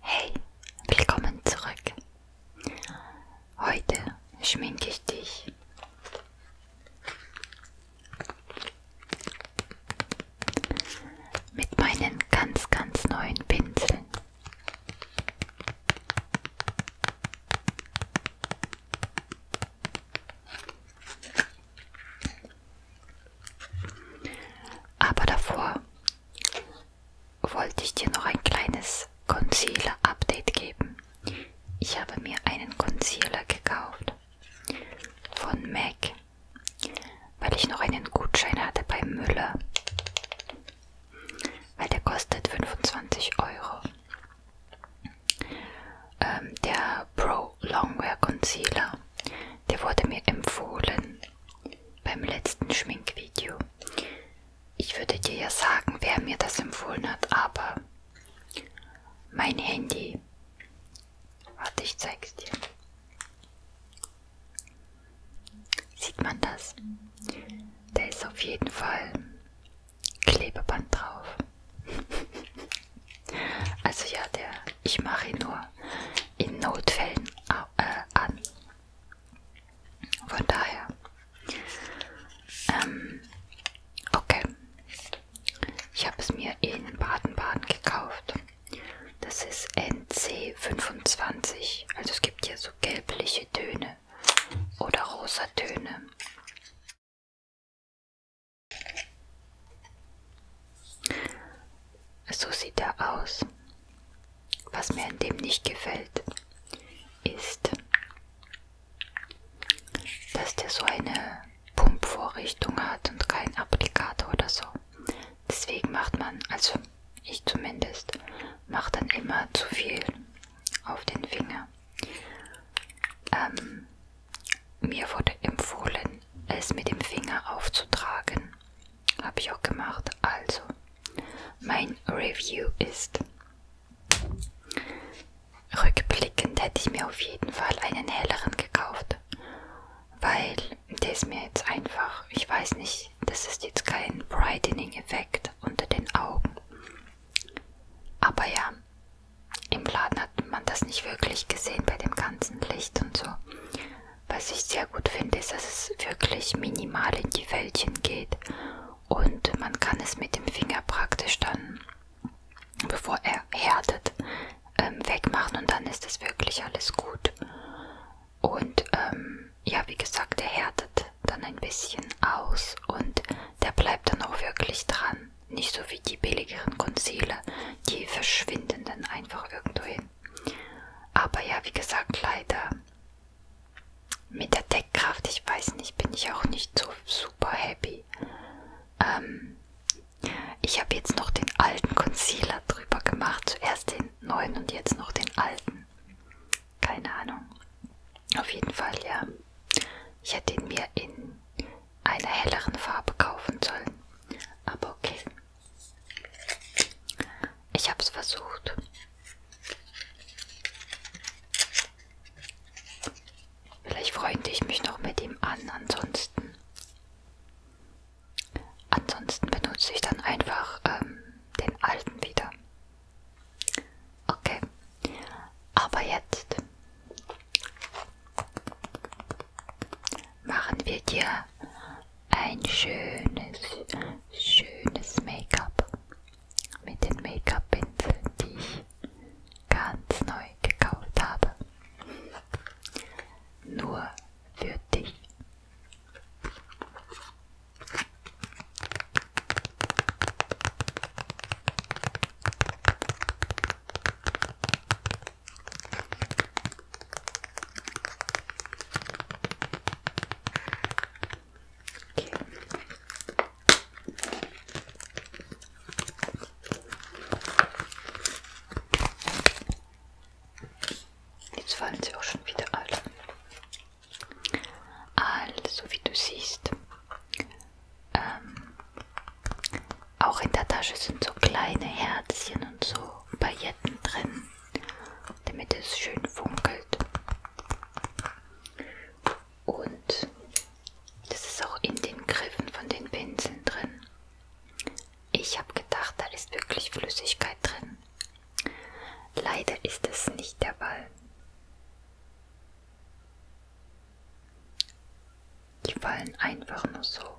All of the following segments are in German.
Hey, willkommen zurück. Heute schminke ich dich. Mit meinen ganz, ganz neuen Pinseln. Aber davor wollte ich dir noch ein kleines Concealer-Update geben. Ich habe mir einen Concealer gekauft von MAC, weil ich noch einen Gutschein hatte bei Müller, weil der kostet 25 Euro. Ähm, der Pro Longwear Concealer, der wurde mir empfohlen beim letzten Schminkvideo. Ich würde dir ja sagen, wer mir das empfohlen hat, aber mein Handy. Warte, ich zeig's dir. Sieht man das? Da ist auf jeden Fall Klebeband drauf. also ja, der ich mache ihn nur in Notfällen äh, an. Von daher. Ähm, okay. Ich habe es mir in Baden-Baden gekauft. Das ist NC25. Also es gibt hier so gelbliche Töne oder rosa Töne. So sieht er aus. Was mir an dem nicht gefällt, ist, dass der so eine Pumpvorrichtung hat und keinen Applikator oder so. Deswegen macht man, also ich zumindest, macht dann immer zu viel auf den Finger. Ähm, mir wurde empfohlen, es mit dem Finger aufzutragen. Habe ich auch gemacht. Also, mein Review ist. Rückblickend hätte ich mir auf jeden Fall einen helleren gekauft. Weil der ist mir jetzt einfach, ich weiß nicht, das ist jetzt kein Brightening-Effekt unter den Augen. Aber ja, im Laden hat man das nicht wirklich gesehen bei dem ganzen Licht und so. Was ich sehr gut finde, ist, dass es wirklich minimal in die Fältchen geht und man kann es mit dem Finger praktisch dann, bevor er härtet, ähm, wegmachen und dann ist es wirklich alles gut. Und ähm, ja, wie gesagt, er härtet dann ein bisschen aus und der bleibt dann auch wirklich dran. Nicht so wie die billigeren Concealer, die verschwinden dann einfach irgendwo hin. Aber ja, wie gesagt, leider mit der Deckkraft, ich weiß nicht, bin ich auch nicht so super happy. Ähm, ich habe jetzt noch den alten Concealer drüber gemacht, zuerst den neuen und jetzt noch den alten. Keine Ahnung. Auf jeden Fall, ja. Ich hätte ihn mir in einer helleren Farbe kaufen sollen. Aber okay, ich habe es versucht. Vielleicht freunde ich mich noch mit ihm an, ansonsten. Ansonsten benutze ich dann einfach ähm, den alten wieder. Okay. Aber jetzt machen wir dir ein schönes, schönes Make-up mit den Make-up-Pinseln, die ich ganz neu gekauft habe. Nur für dich. Okay. Jetzt fallen sie auch schon wieder alle. Also wie du siehst, ähm, auch in der Tasche sind so kleine Herzchen und so Pailletten drin damit es schön funkelt. Und das ist auch in den Griffen von den Pinseln drin. Ich habe gedacht, da ist wirklich Flüssigkeit drin. Leider ist es nicht der Ball. Die fallen einfach nur so.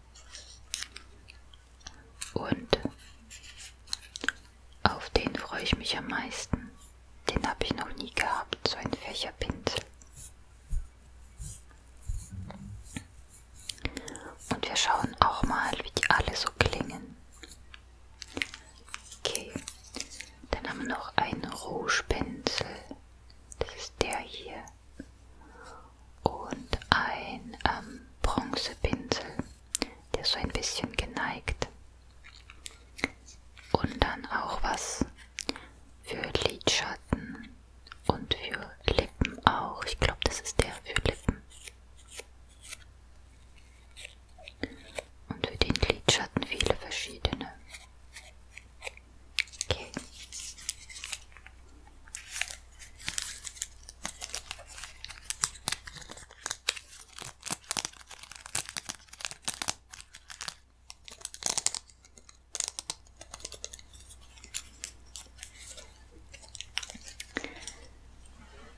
Und auf den freue ich mich am meisten. Den habe ich noch nie gehabt, so ein Fächerpinsel. Und wir schauen auch mal, wie die alle so klingen. Okay, dann haben wir noch einen Rouge-Pinsel. Das ist der hier und ein ähm, Bronzepinsel, der so ein bisschen geneigt. Und dann auch was für Lidschatten und für Lippen auch. Ich glaube, das ist der für Lippen. Und für den Lidschatten viele verschiedene. Okay.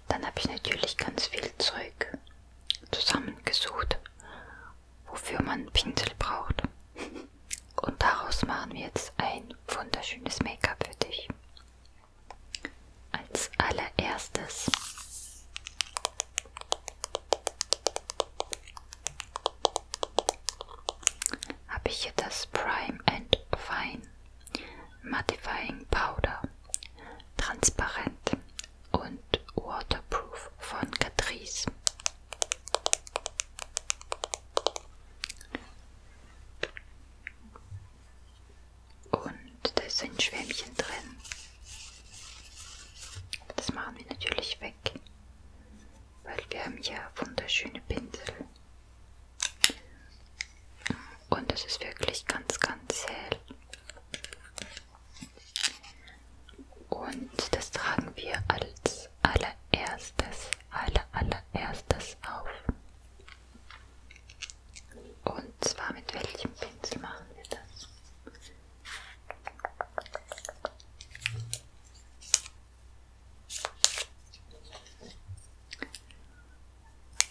Dann habe ich natürlich ganz viel Zeug zusammengesucht, wofür man einen Pinsel braucht. Und daraus machen wir jetzt ein wunderschönes Make-up für dich. Als allererstes habe ich hier das Prime and Fine Mattifying Powder. Transparent und Waterproof von Catrice. Und da ist ein Schwämmchen drin. Das machen wir natürlich weg, weil wir haben ja wunderschöne Pinsel. Und es ist wirklich ganz, ganz hell. Und das tragen wir als als allererstes, aller, allererstes auf. Und zwar mit welchem Pinsel machen wir das?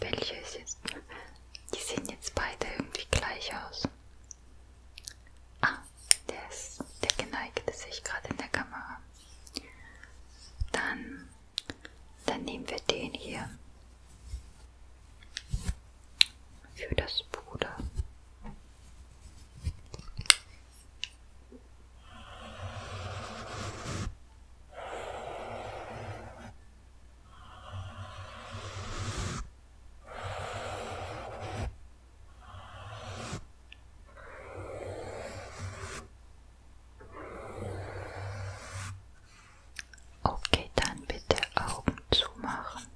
Welche ist jetzt? Die sehen jetzt beide irgendwie gleich aus. Ah, der, ist, der geneigte sehe ich gerade in der Kamera. Dann, dann nehmen wir den hier für das Puder. Okay, dann bitte Augen zumachen.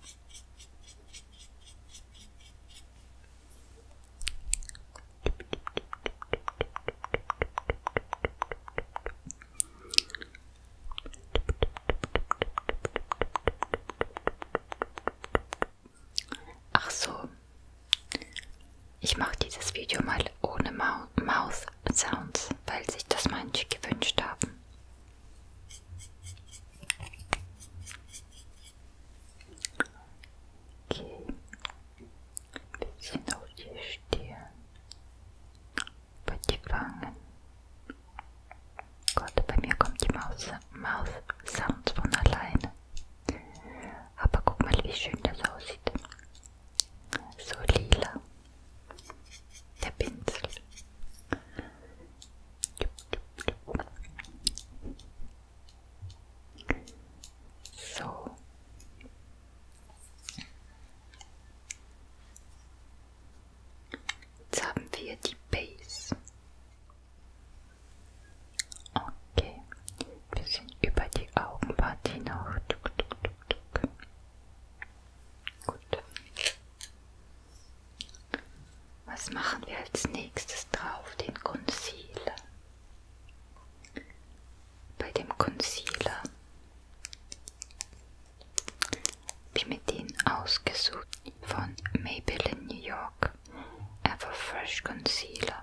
Ach so. Ich mache dieses Video mal ohne Mau Mouth Sounds, weil sich das manche gewünscht haben. Okay. Ein bisschen auf die Stirn. Über die Wangen. Gott, bei mir kommt die Mouth Sounds von alleine. Aber guck mal, wie schön das aussieht. So lila. Der Pinsel. So. Jetzt haben wir die Base. Okay, wir sind über die Augenpartie noch. Tuk, tuk, tuk, tuk. Gut. Was machen wir als nächstes drauf? Den Concealer. Bei dem Concealer habe ich mir den ausgesucht von Maybelline New York. Ever Fresh Concealer.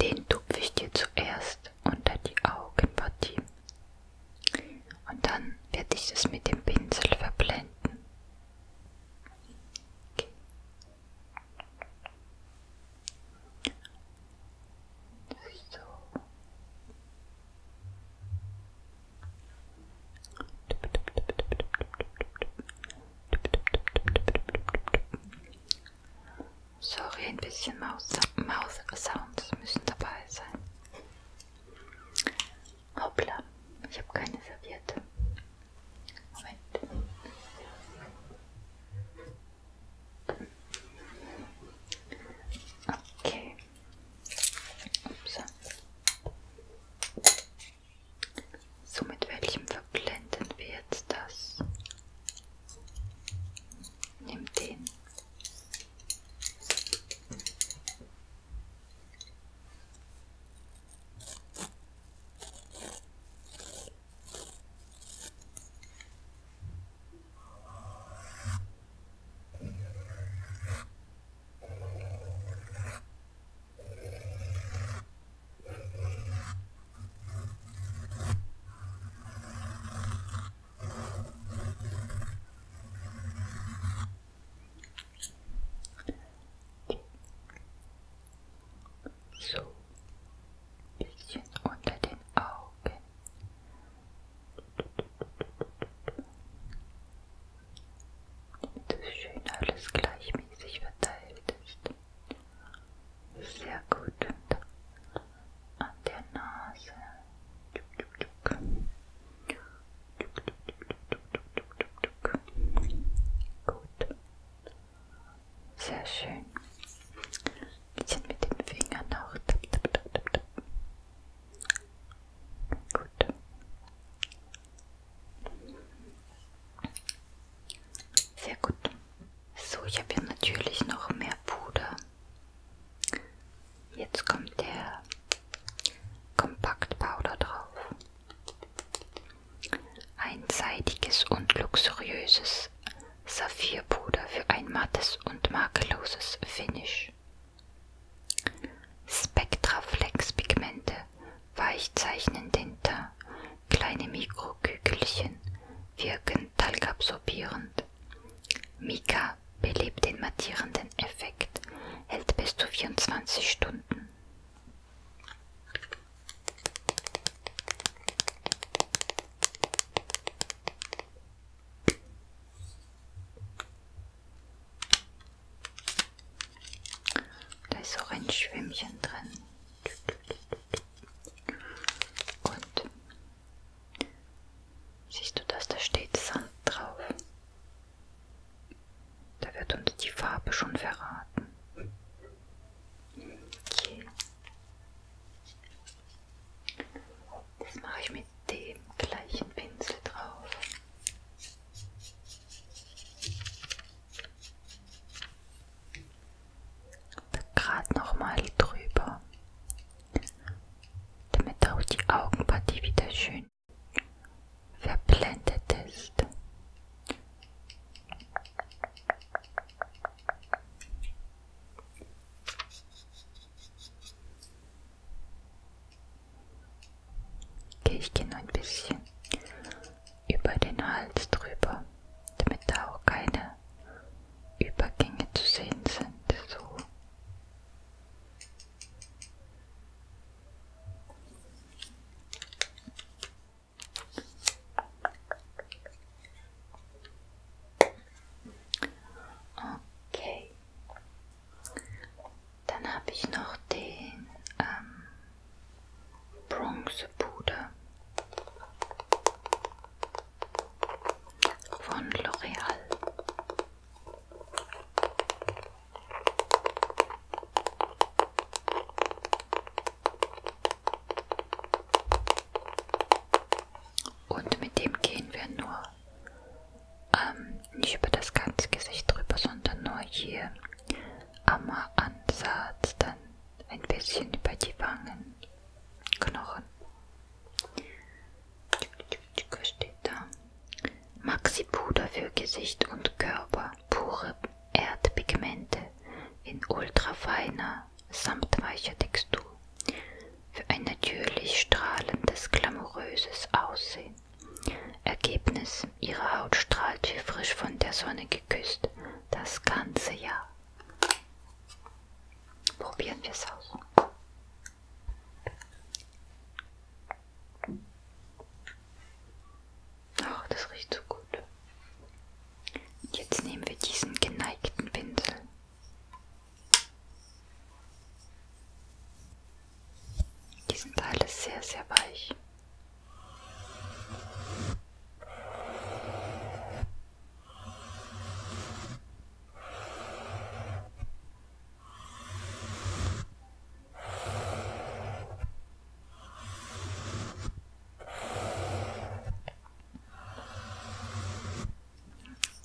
Den tupfe ich dir zuerst unter die Augenpartie. Und dann werde ich das mit dem Pinsel verblenden. Okay. So. Sorry, ein bisschen Maus-Sounds müssen dabei sein. Hoppla, ich habe keine Serviette. Moment. Okay. Ups. So mit welchem Ver verblenden wir jetzt das. Nimm den. So, ein bisschen unter den Augen. Damit es schön alles gleichmäßig verteilt ist. Sehr gut. Und an der Nase. Gut. Sehr schön. Bisschen mit den Fingern noch. Gut. Sehr gut. So, ich habe hier natürlich noch mehr Puder. Jetzt kommt der Kompakt Powder drauf. Einseitiges und luxuriöses Saphirpuder für ein mattes und makelloses Finish. Spectraflex Pigmente weichzeichnen den Teint Kleine Mikrokügelchen wirken talgabsorbierend. Mika belebt den mattierenden Effekt, hält bis zu 24 Stunden. Da ist auch ein Schwämmchen drin. Und siehst du das? Da steht Sand drauf. Da wird uns die Farbe schon verraten. Okay. Das mache ich mit dem gleichen Pinsel drauf. Gerade nochmal drüber, damit auch die Augenpartie wieder schön verblendet ist. Okay, ich gehe noch ein bisschen über den Hals drüber, damit da auch keine Übergänge zu sehen sind. So. Okay. Dann habe ich noch den ähm, Bronzepuder von L'Oreal. Und mit dem gehen wir nur ähm, nicht über das ganze Gesicht drüber, sondern nur hier am Ansatz, dann ein bisschen über die Wangen Knochen. Was steht da? Maxi-Puder für Gesicht und Körper. Pure Erdpigmente in ultrafeiner, samtweicher Textur. Für ein natürlich strahlendes, glamouröses Aussehen. Ergebnis: Ihre Haut strahlt wie frisch von der Sonne geküsst. Das ganze Jahr. Probieren wir es aus. Ach, das riecht so gut. Und jetzt nehmen wir diesen geneigten Pinsel. Diesen Teil ist sehr, sehr weich.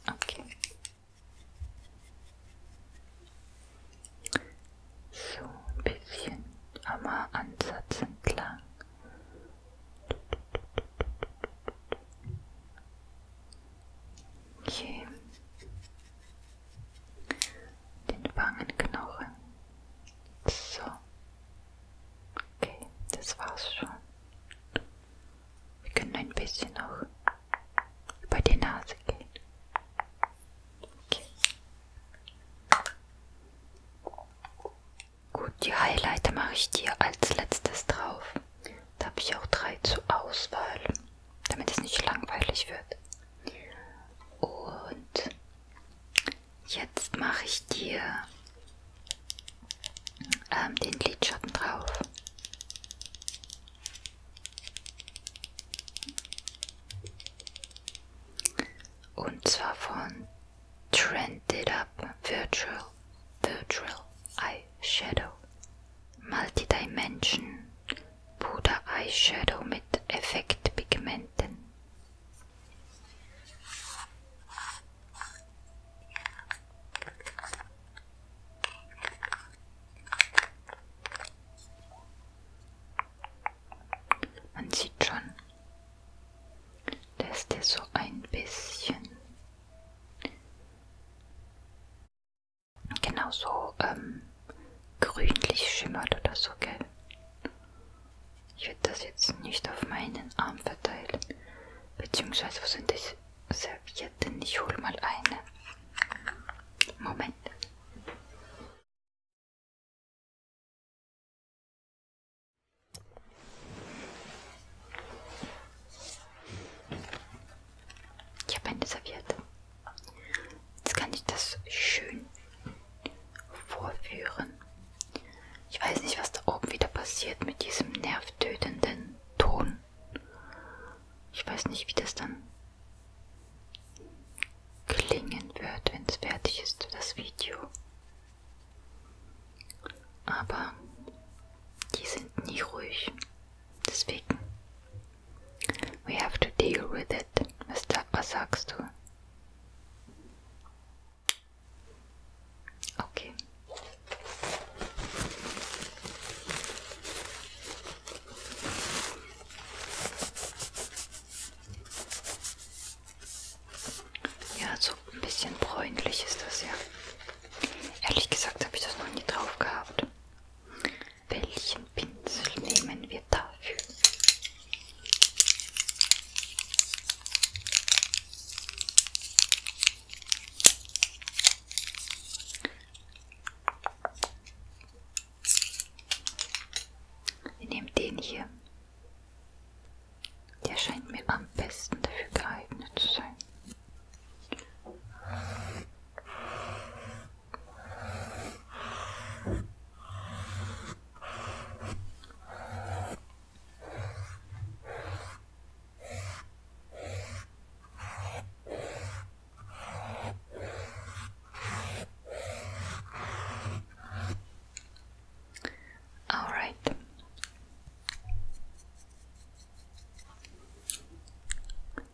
Okay. So ein bisschen am Ansatz entlang Okay. Den Wangenknochen. So. Okay, das war's schon. Wir können ein bisschen noch über die Nase gehen. Okay. Gut, die Highlighter mache ich dir als letztes drauf. Da habe ich auch drei zur Auswahl, damit es nicht langweilig wird. Und jetzt mache ich dir ähm, den Lidschatten drauf. Und zwar von Trended Up Virtual Virtual Eyeshadow Multidimension Puder Eyeshadow mit Effektpigmenten. Man sieht schon, dass der so ein bisschen Genau so ähm, grünlich schimmert oder so, gell? Ich werde das jetzt nicht auf meinen Arm verteilen. Beziehungsweise, wo sind die Servietten? Ich hole mal eine. Moment. Ich habe eine Serviette. Jetzt kann ich das schön vorführen. Ich weiß nicht, was da oben wieder passiert mit diesem nervtötenden Ton. Ich weiß nicht, wie das dann klingen wird, wenn es fertig ist, das Video. Aber die sind nie ruhig. Deswegen. We have to deal with it. Was, da, was sagst du? Okay. Ja, so ein bisschen bräunlich ist das ja. Ehrlich gesagt habe ich das noch nie drauf gehabt. Welchen Pinsel nehmen wir dafür? Wir nehmen den hier. Der scheint mir am besten dafür geeignet zu sein. Alright.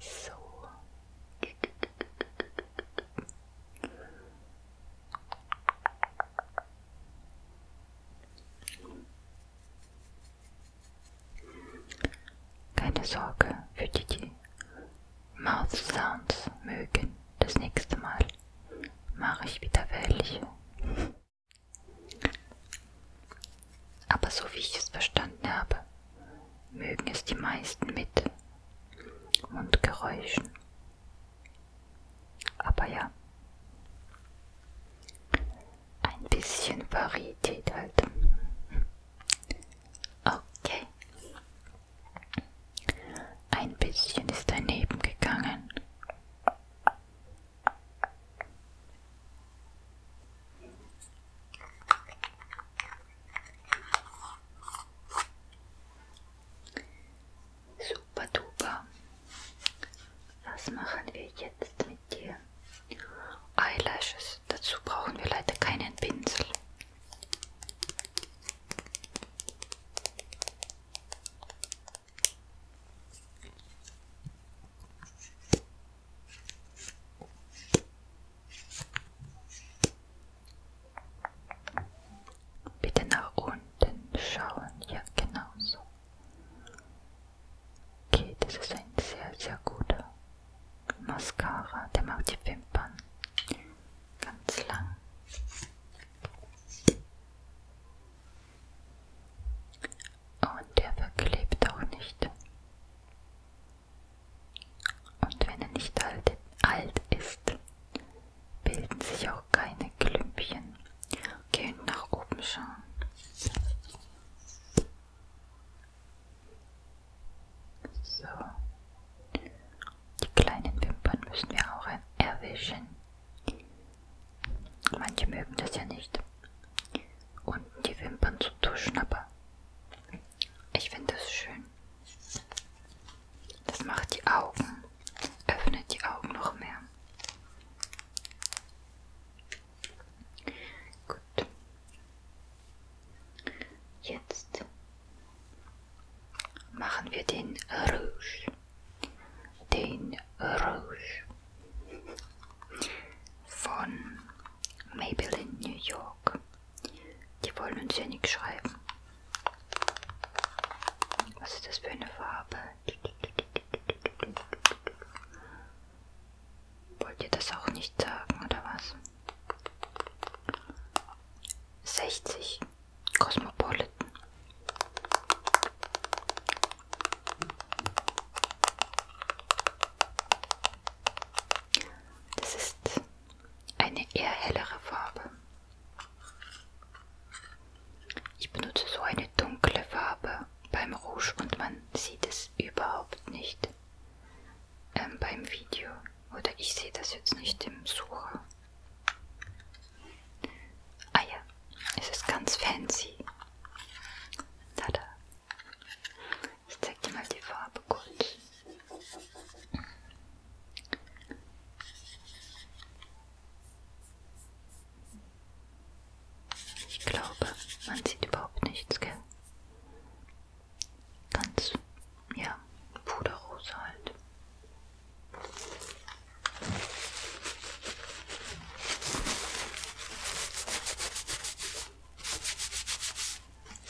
So. Keine Sorge für die, die Mouth Sounds mögen. Das nächste Mal mache ich wieder welche. Aber so wie ich es verstanden habe, mögen es die meisten mit Mundgeräuschen. Aber ja, ein bisschen Varietät halt. Okay. Ein bisschen ist daneben gegangen. Super duper. Was machen wir jetzt mit dir? Eyelashes. Dazu brauchen wir leider keinen Pinsel. Bitte nach unten schauen. Ja, genau so. Okay, das ist ein sehr, sehr guter Mascara. Der macht die Wimpern ganz lang. Und der verklebt auch nicht. Und wenn er nicht alt, alt ist, bilden sich auch keine Klümpchen. Okay, und nach oben schauen. So. Die kleinen Wimpern müssen wir auch erwischen. Manche mögen das ja nicht. Unten die Wimpern zu tuschen, aber ich finde das schön. Das macht die Augen, öffnet die Augen noch mehr. Gut. Jetzt machen wir den Rouge. Den Rouge von Maybelline New York. Die wollen uns ja nichts schreiben. Was ist das für eine Farbe? Wollt ihr das auch nicht sagen oder was? 60 Cosmopolitan. Das ist eine eher hellere Farbe. Ich benutze so eine dunkle Farbe beim Rouge und man sieht es überhaupt nicht ähm, beim Video. Oder ich sehe das jetzt nicht im Sucher. Ah ja, es ist ganz fancy. Tada! Ich zeig dir mal die Farbe kurz. Ich glaube, man sieht überhaupt nichts, gell? Ganz, ja, puderrosa halt.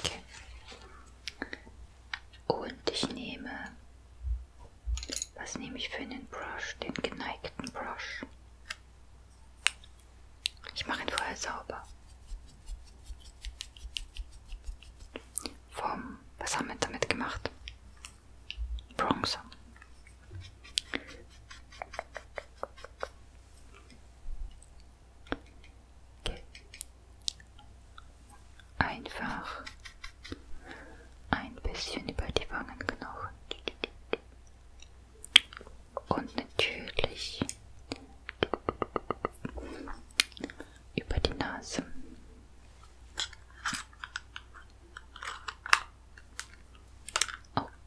Okay. Und ich nehme, was nehme ich für einen Brush? Den geneigten Brush. Ich mache ihn vorher sauber. Vom, was haben wir damit gemacht? Bronzer. Einfach ein bisschen über die Wangenknochen. Und natürlich über die Nase.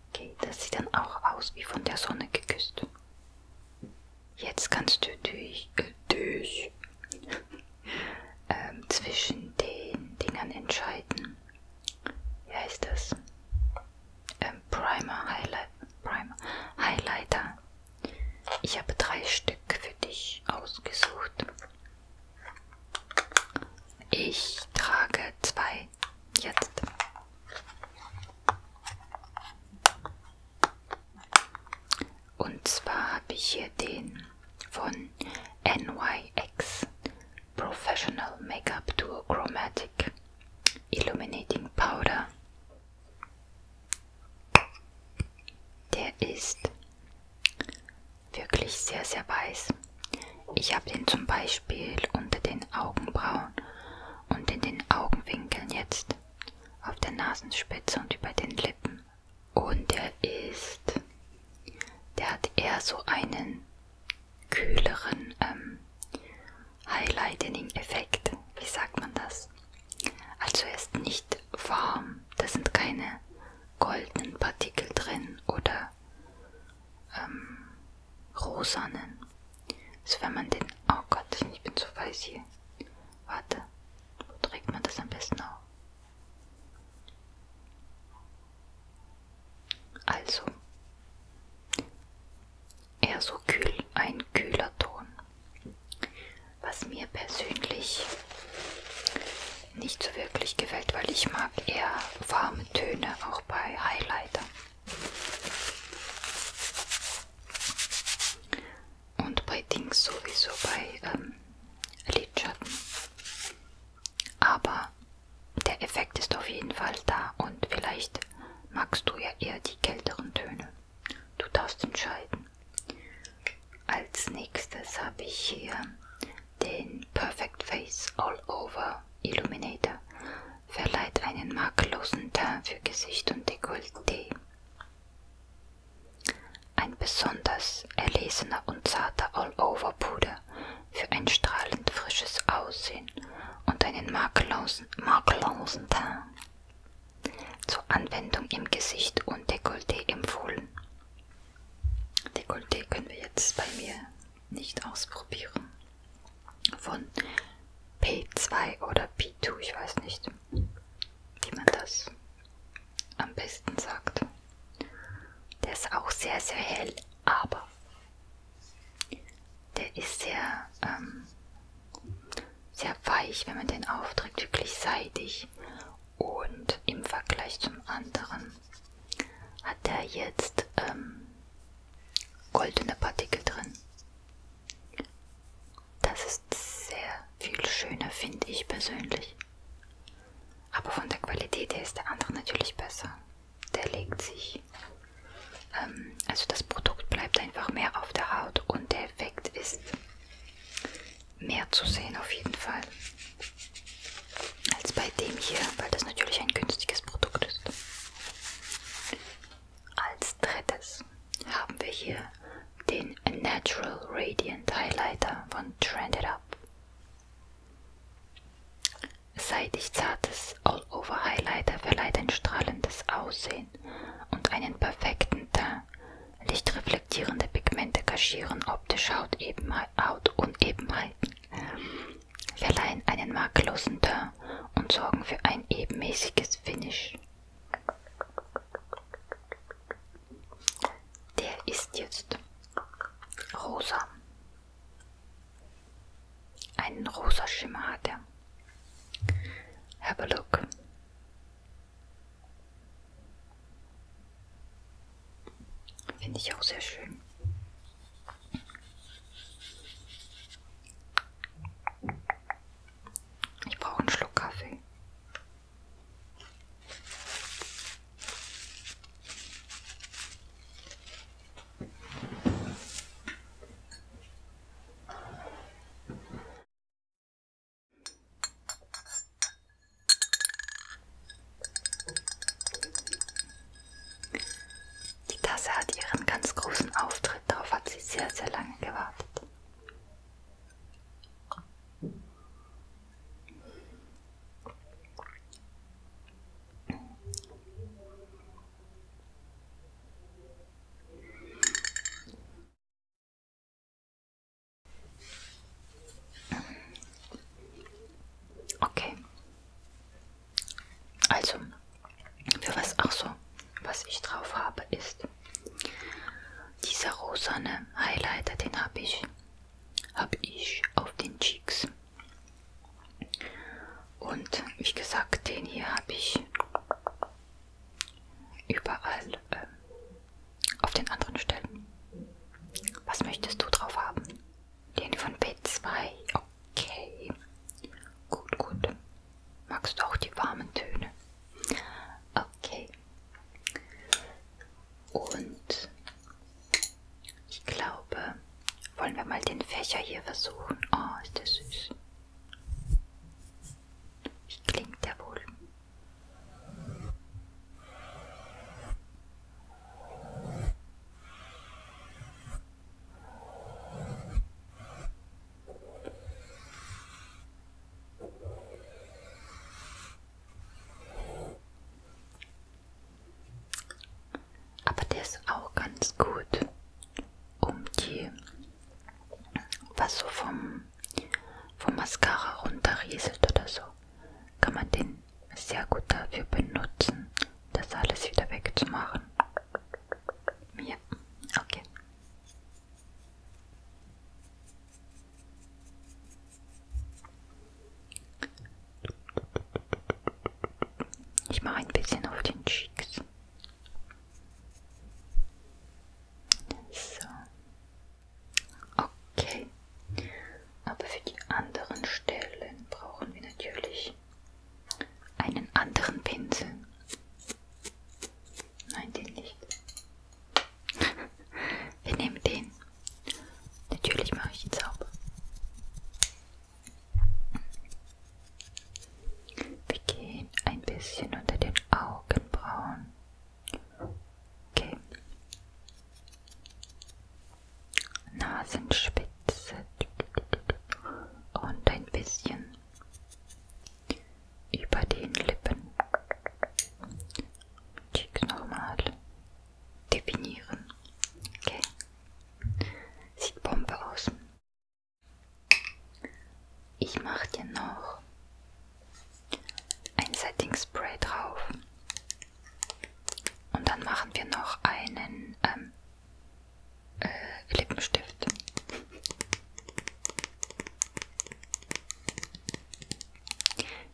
Okay, das sieht dann auch aus wie von der Sonne geküsst. Jetzt kannst du dich, äh, dich ähm, zwischen den Dingern entscheiden. Wie heißt das? Ähm, Primer, Highlight, Primer, Highlighter. Ich habe drei Stück für dich ausgesucht. Ich trage zwei jetzt. Und zwar habe ich hier den von NYX Professional Makeup Duo Chromatic Illuminating Powder. Der ist wirklich sehr, sehr weiß. Ich habe den zum Beispiel unter den Augenbrauen und in den Augenwinkeln jetzt, auf der Nasenspitze und über den Lippen. Und der ist, der hat eher so einen kühleren ähm, Highlighting-Effekt. Wie sagt man das? Also er ist nicht warm, da sind keine goldenen Partikel drin oder ähm, Rosanen. Also wenn man den... Oh Gott, ich bin zu weiß hier. Warte, wo trägt man das am besten auf? Also, eher so kühl, ein kühler Ton. Was mir persönlich nicht so wirklich gefällt, weil ich mag eher warme Töne auch bei Highlighter. Und bei Dings sowieso bei ähm, Lidschatten. Aber der Effekt ist auf jeden Fall da und vielleicht magst du ja eher die kälteren Töne. Du darfst entscheiden. Als nächstes habe ich hier den Perfect Face All Over Illuminator verleiht einen makellosen Teint für Gesicht und Dekolleté. Ein besonders erlesener und zarter All-Over-Puder für ein strahlend frisches Aussehen und einen makellosen, makellosen Teint. Zur Anwendung im Gesicht und Dekolleté empfohlen. Dekolleté können wir jetzt bei mir nicht ausprobieren. Von P2 oder P2, ich weiß nicht, wie man das am besten sagt. Der ist auch sehr, sehr hell, aber der ist sehr, ähm, sehr weich, wenn man den aufträgt, wirklich seidig. Und im Vergleich zum anderen hat er jetzt ähm, goldene Partikel drin. Das ist sehr viel schöner, finde ich persönlich. Aber von der Qualität her ist der andere natürlich besser. Der legt sich. Ähm, also das Produkt bleibt einfach mehr auf der Haut und der Effekt ist mehr zu sehen auf jeden Fall. Als bei dem hier, weil das natürlich ein günstiges Produkt ist. Als drittes haben wir hier den Natural Radiant Highlighter von Trend It Up. Seidig zartes All-Over Highlighter verleiht ein strahlendes Aussehen und einen perfekten Teint. Lichtreflektierende Pigmente kaschieren optische Hautunebenheiten verleihen einen makellosen Teint und sorgen für ein ebenmäßiges Finish. Der ist jetzt rosa. Einen rosa Schimmer hat er. Have a look. Finde ich auch sehr schön. Ich brauche einen Schluck Kaffee. Die Tasse hat ihren ganz großen Auftritt, darauf hat sie sehr, sehr lange gewartet. Okay, also, für was, ach so, was ich drauf habe, ist dieser rosane Highlighter, den habe ich, hab ich auf den Cheeks. Und wie gesagt, den hier habe ich überall äh, auf den anderen Stellen. Was möchtest du drauf haben? Den von B2. Okay. Gut, gut. Magst du auch die warmen Töne? Okay. Und ich glaube, wollen wir mal den Fächer hier versuchen. Oh, ist der süß. Wie klingt der wohl? Aber der ist auch ganz gut, um die, was so vom, vom Mascara runterrieselt oder so, kann man den sehr gut dafür benutzen, das alles wieder wegzumachen. Ja, okay. Ich mache ein bisschen auf den Cheeks. So. Okay. Aber für die anderen Stellen brauchen wir natürlich ich einen anderen Pinsel. Nein, den nicht. Wir nehmen den. Natürlich mache ich ihn sauber. Wir gehen ein bisschen unter den Augenbrauen. Okay. Nasenspitze und ein bisschen über den Lippen. Cheeks nochmal definieren. Okay. Sieht Bombe aus. Ich mache dir noch ein Setting Spray drauf. Und dann machen wir noch einen ähm, äh,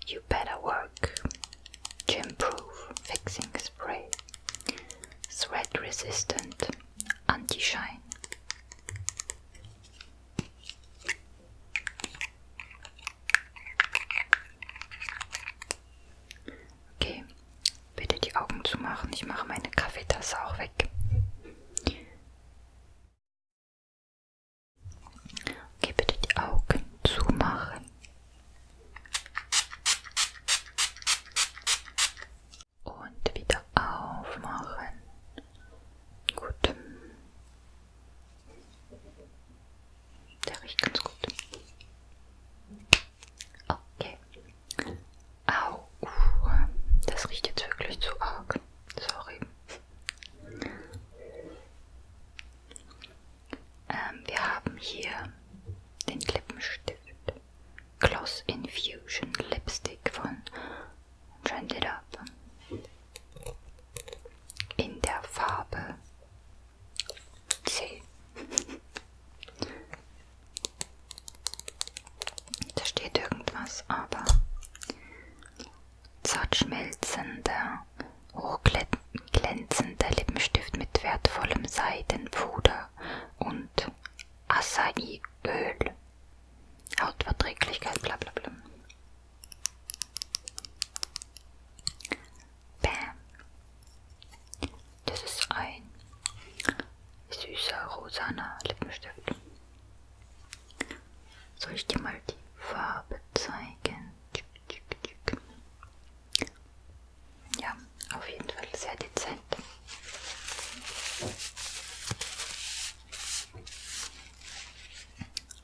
You better work. Gym proof fixing spray. Sweat resistant. Anti-shine. Okay, bitte die Augen zumachen. Ich mache meine Kaffeetasse auch weg. Okay, bitte die Augen zumachen. Und wieder aufmachen. Gut. Der riecht ganz gut. Okay. Au, uh, das riecht jetzt wirklich zu arg. Sorry. Ähm, wir haben hier den Lippenstift Gloss Infusion Lipstick von Trend It Up in der Farbe C. Da steht irgendwas, aber zart schmelzender, hochglänzender Lippenstift mit wertvollem Seidenpuder und Acai-Öl. Hautverträglichkeit, bla bla bla. Bam. Das ist ein süßer rosaner Lippenstift. Soll ich dir mal die Farbe zeigen? Ja, auf jeden Fall sehr dezent.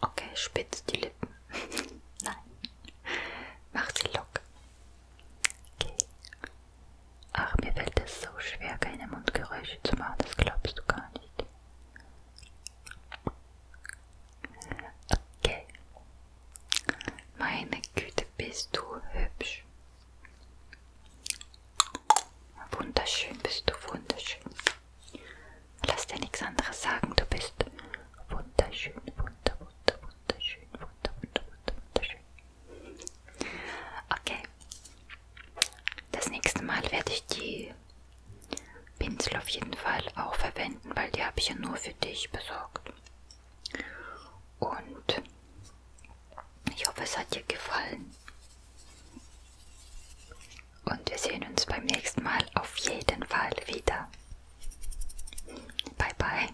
Okay, spitz die Lippen. Nein, mach sie locker. Okay, Ach, mir fällt es so schwer, keine Mundgeräusche zu machen, das glaubst du gar nicht. Okay. Meine Güte, bist du hübsch. Wunderschön, bist du wunderschön. Lass dir nichts anderes sagen, du bist wunderschön, wunder, wunder, wunderschön, wunder, wunder, wunder, wunderschön. Okay. Das nächste Mal werde ich die Pinsel auf jeden Fall auch verwenden, weil die habe ich ja nur für dich besorgt. Und ich hoffe, es hat dir gefallen. Und wir sehen uns beim nächsten Mal auf jeden Fall wieder. Bye bye.